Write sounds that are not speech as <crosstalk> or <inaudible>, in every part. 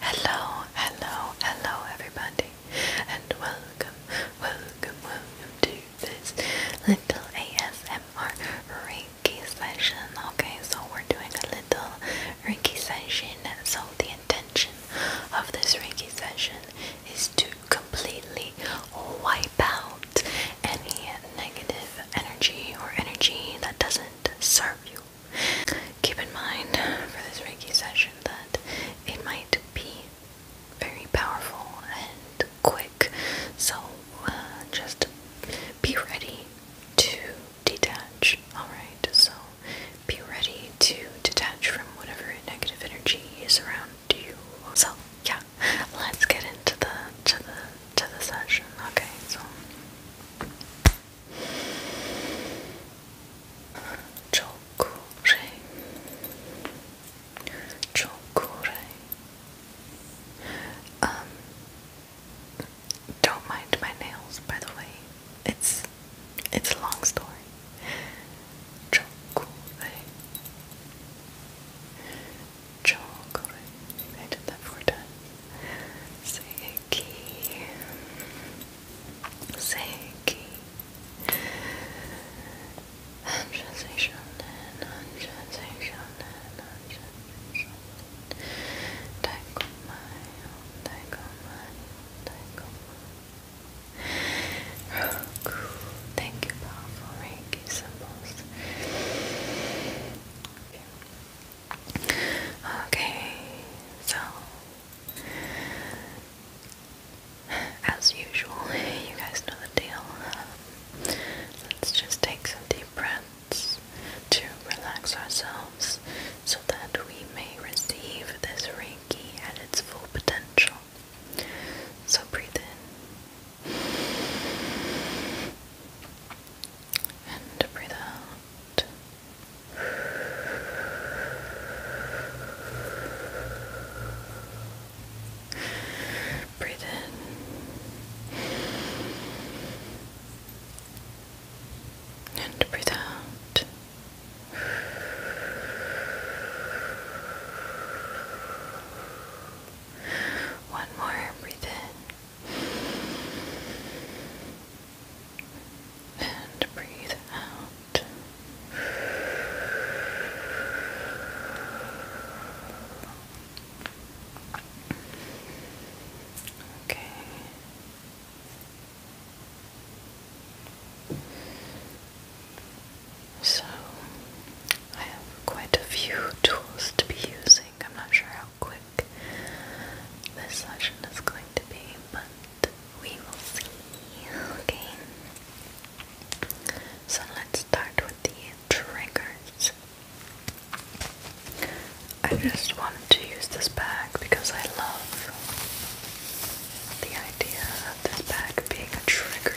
Hello, hello, hello, everybody, and welcome, welcome, welcome to this little ASMR Reiki session. Okay, so we're doing a little Reiki session. So, the intention of this Reiki session is to completely wipe out any negative energy or energy that doesn't serve you Keep in mind for this Reiki session that it might be very powerful and quick, so uh, just be ready to detach. Alright, so be ready to detach from whatever negative energy is around you. So yeah, let's get into the to the to the session. Okay, so Chocolate, Chokurei Um Don't mind my nails by the way. It's it's a long story. Chokurei Chokurei I did that four times. Say Seiki, Seiki, Anjazation, Anjazation, Anjazation, Daikomai, Daikomai, Daikomai, Roku, thank you, powerful Reiki symbols. Okay, so as usual, you guys know the deal. let's just take some deep breaths to relax ourselves so that we may receive this Reiki at its full potential. So breathe in and breathe out. Breathe in and breathe out. One more, breathe in and breathe out. Okay. So, I have quite a few tools to be using. I'm not sure how quick this session is going to be, but we will see. Okay. So let's start with the triggers. I just wanted to use this bag because I love the idea of this bag being a trigger.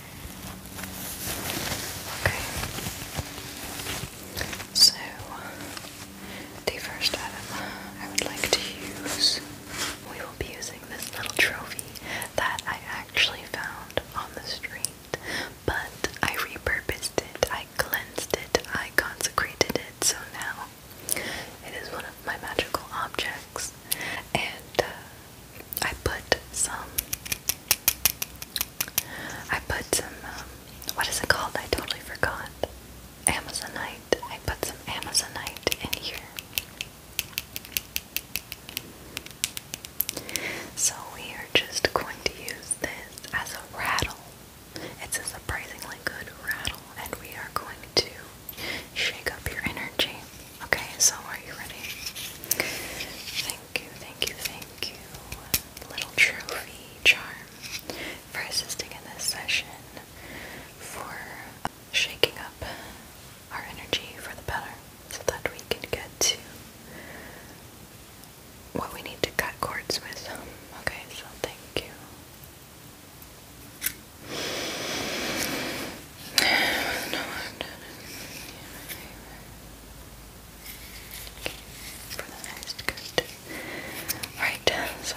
Okay. So, the first item I would like to use, we will be using this little trophy that I actually found on the street, but I repurposed it, I cleansed it, I consecrated it, so now it is one of my magical objects, and uh, I put some I put some, um, what is it called? I totally forgot. Amazonite. I put some Amazonite in here. So we are just going to use this as a rattle. It's a surprisingly good rattle, and we are going to shake up your energy. Okay, so are you ready? Thank you, thank you, thank you. Little trophy charm for assisting in this session, for shaking up our energy for the better so that we can get to what we need to cut cords with. Okay, so thank you for the next good. Alright, so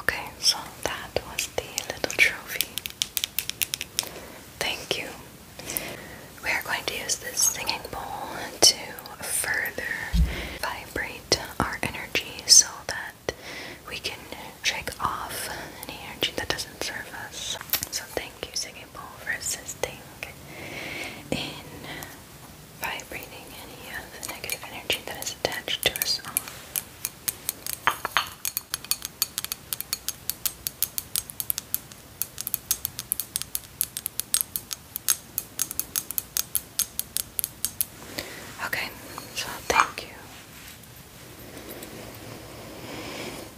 Okay, so that was the little trophy. Thank you. We are going to use this singing bowl to further vibrate our energy so that we can shake off any energy that doesn't serve us. So, thank thank you, Singing Bowl, for assisting in vibrating any of the negative energy that is attached to us Okay, so thank you.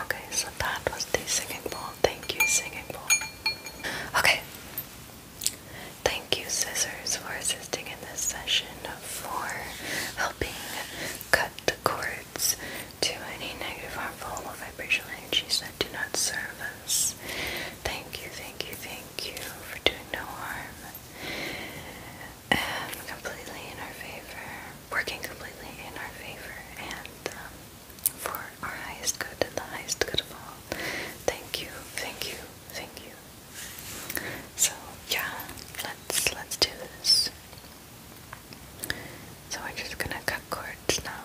Okay, so that was the singing bowl. Thank you, singing bowl. Okay. Thank you, scissors, for scissors in this session for helping cut the cords to any negative, harmful, or vibrational energies that do not serve us. Thank you, thank you, thank you for doing no harm um, completely in our favor, working completely in our favor and um, for our highest good the highest good of all. Thank you, thank you, thank you. So yeah, let's let's do this. So we're just gonna cut cords now.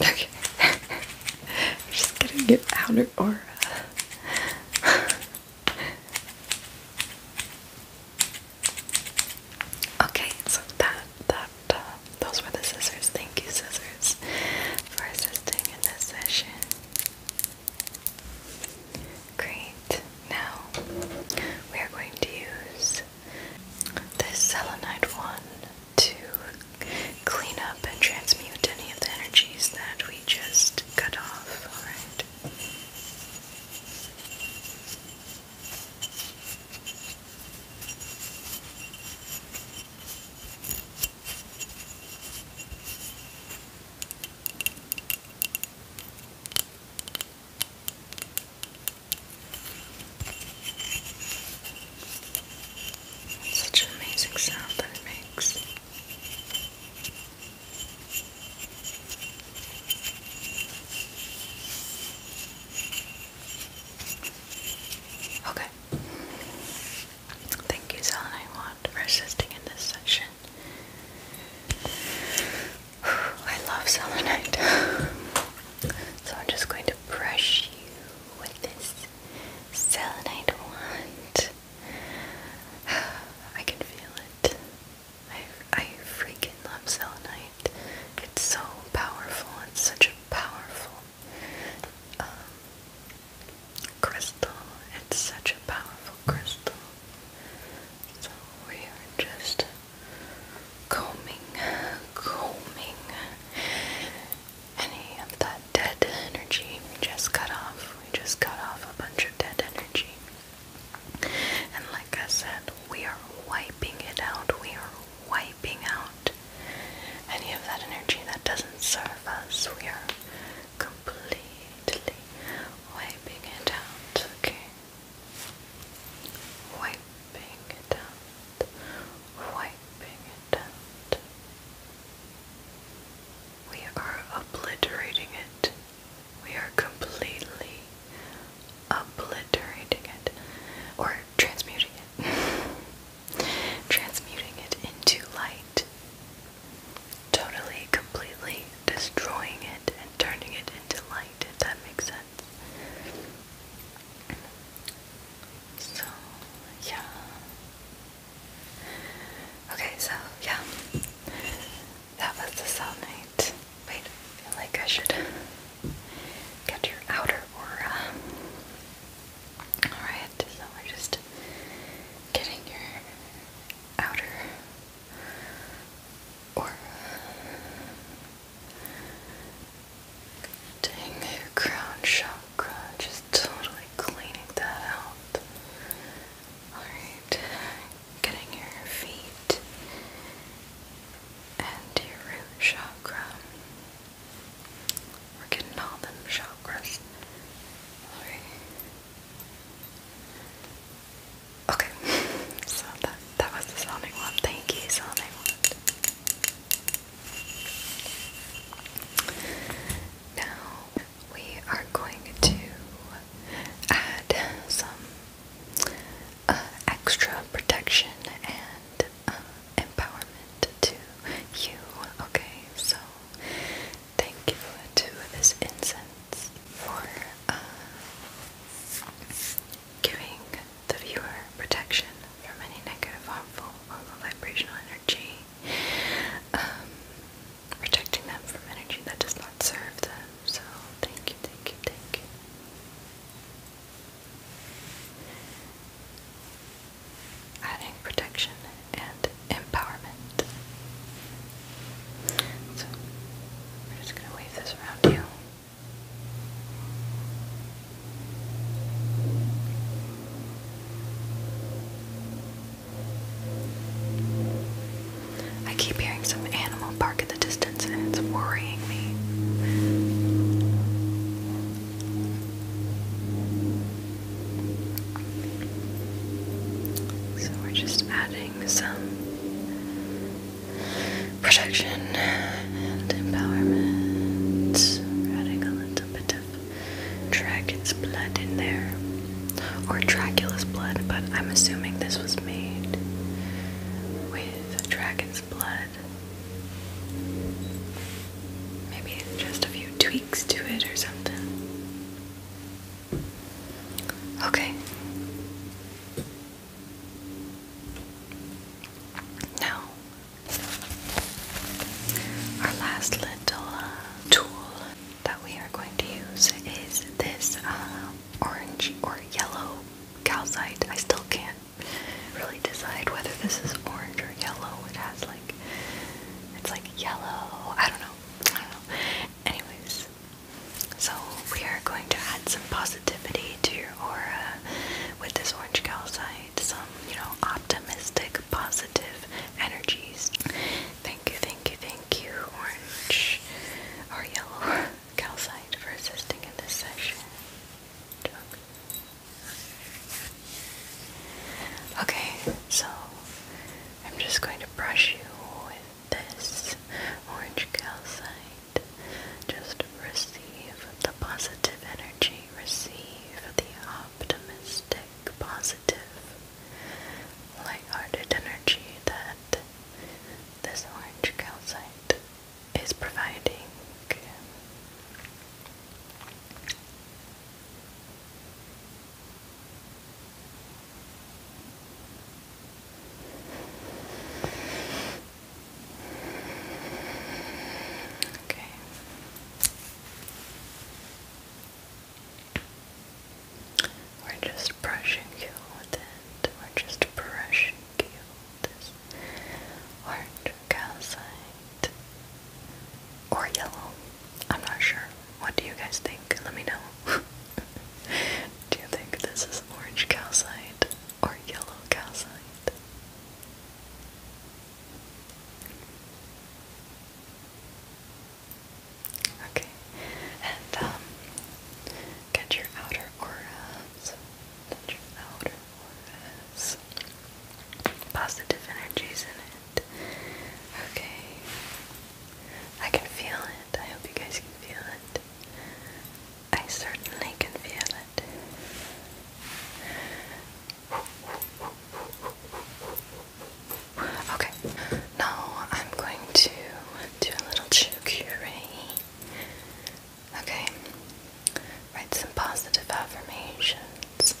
Okay. <laughs> I'm just get your outer aura. <laughs> okay, so that that uh, those were the scissors. Thank you, scissors, for assisting in this session. Great. Now we are going to use this selenite one to clean up and transmute any of the energies that just cut off, alright? Such an amazing sound that it makes. Okay. Thank you, Sal and for assisting in this session. I love selenite. <laughs> so I'm just going to brush you with this selenite wand. I can feel it. I, I freaking love selenite. It's so powerful. It's such a powerful um, crystal. It's such a powerful crystal. So we are just combing, combing any of that dead energy we just cut off. We just cut off a bunch of dead energy. And like I said, we are wiping it out. We are wiping out any of that energy that doesn't serve us. We are completely wiping it out, okay? Wiping it out. Wiping it out. We are obliterating it. We are completely obliterating it. Or transmuting it. <laughs> transmuting it into light. Totally, completely destroying it and turning it into light, if that makes sense. So, yeah. Okay, so yeah, that was the selenite. Wait, feel like I should get your outer aura. Alright, so we're just getting your outer aura. Getting your crown chakra just totally cleaning that out. Alright, getting your feet and your root chakra. We're getting all them chakras. Alright. Okay, <laughs> so that, that was the Sonic one. Thank you, Sonic one. Now we are going to add some uh, extra protection and uh, empowerment to you. Okay, so thank you to this incense for uh, giving the viewer protection from any negative, harmful, or low vibrational energy protecting um, them from energy that does not serve them. So, thank you, thank you, thank you. Adding protection and empowerment. So, we're just going to wave this around you. I keep hearing some animal bark in the distance and it's worrying me. So we're just adding some protection and empowerment. We're adding a little bit of of dragon's blood in there. Or Dracula's blood, but I'm assuming this was made with dragon's blood. Maybe just a few tweaks to it or something. Okay. Now, our last little uh, tool that we are going to use is this uh, orange or yellow calcite. I still can't really decide whether this is orange or yellow. It has like, it's like yellow. I don't know. I don't know. Anyways, so we are going to add some positivity to your aura with this orange calcite some, you know, optimistic, positive energies. Thank you, thank you, thank you, orange or yellow calcite for assisting in this session. Okay, so I'm just going to brush you with this orange calcite. Just receive the positive energy receive the optimistic, positive, light-hearted energy that this orange calcite is providing. We're just brushing you with it. We're just brushing you with this orange calcite or yellow. I'm not sure. What do you guys think? Let me know. <laughs> do you think this is orange calcite or yellow calcite? Okay, and um, get your outer auras, get your outer auras, positive energies in it. Okay, I can feel it. I hope you guys can feel it. I certainly can feel it. Okay, now I'm going to do a little chukure. Okay, write some positive affirmations.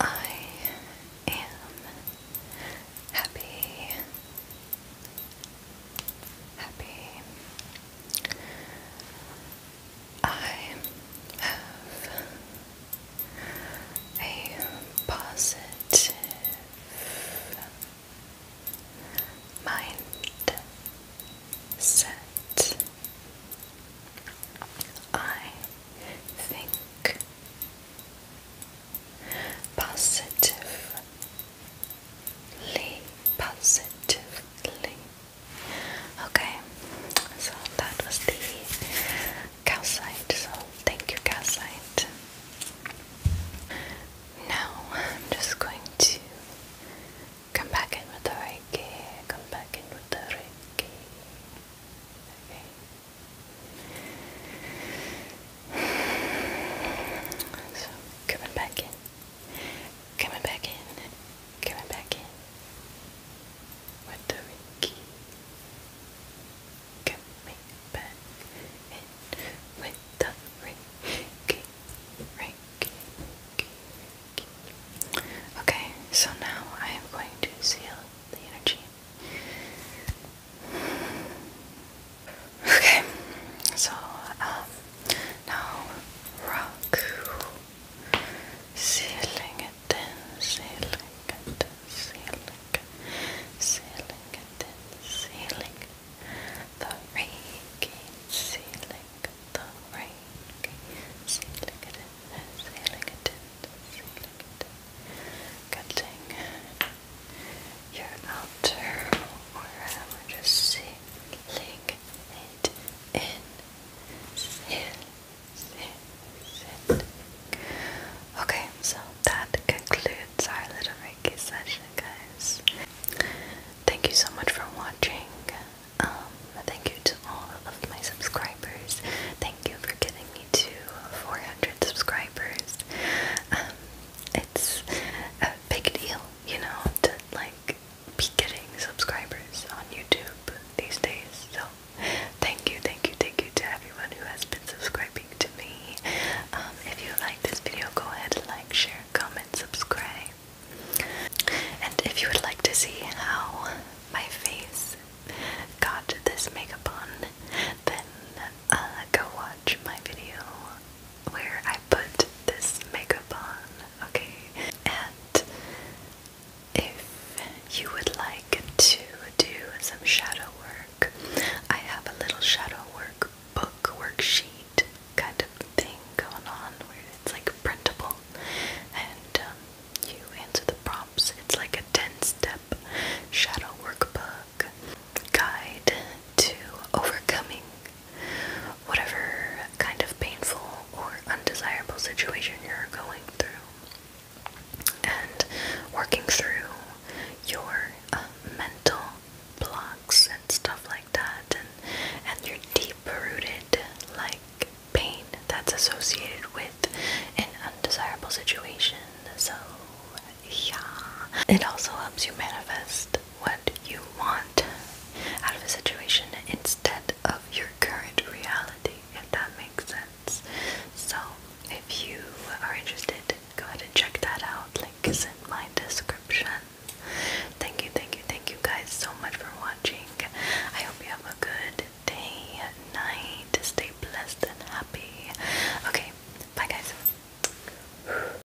I am happy, happy. I have a positive mind I think positively, positively. Okay, so that was the calcite, so thank you, calcite. Now I'm just going to come back in with the reiki, come back in with the reiki. Okay. So coming back in. Coming back in, coming back in. With the key. Coming back in with the rinky, rinky, rinky, rinky. Okay, so now I am going to seal the energy. Okay, so um, now rock ceiling it in, ceiling it in, ceiling, it in, ceiling. The reiki ceiling, the reiki ceiling it in, ceiling it in, ceiling it in. Cutting your outer aura, just ceiling Okay, so that concludes our little Reiki session, guys. Thank you so much for watching. Um, thank you to all of my subscribers. Thank you for getting me to 400 subscribers. Um, it's a big deal, you know, to like be getting subscribers on YouTube these days. So thank you, thank you, thank you to everyone who has been subscribing to me. Um, if you like this video, go ahead and like, share, comment, subscribe. And if you would like to see how my face got this makeup on, then uh, go watch my video where I put this makeup on, okay? And if you would like to do some shadow work, I have a little shadow work book worksheet kind of thing going on where it's like printable and um, you answer the prompts. It's like a 10 step shadow workbook guide to overcoming whatever kind of painful or undesirable situation you're going through, and working through your um, mental blocks and stuff like that, and and your deep-rooted like pain that's associated with an undesirable situation. So yeah, it also helps you manifest what you want out of a situation instead of your current reality, if that makes sense. So, if you are interested, go ahead and check that out. Link is in my description. Thank you, thank you, thank you guys so much for watching. I hope you have a good day, night. to Stay blessed and happy. Okay, bye guys.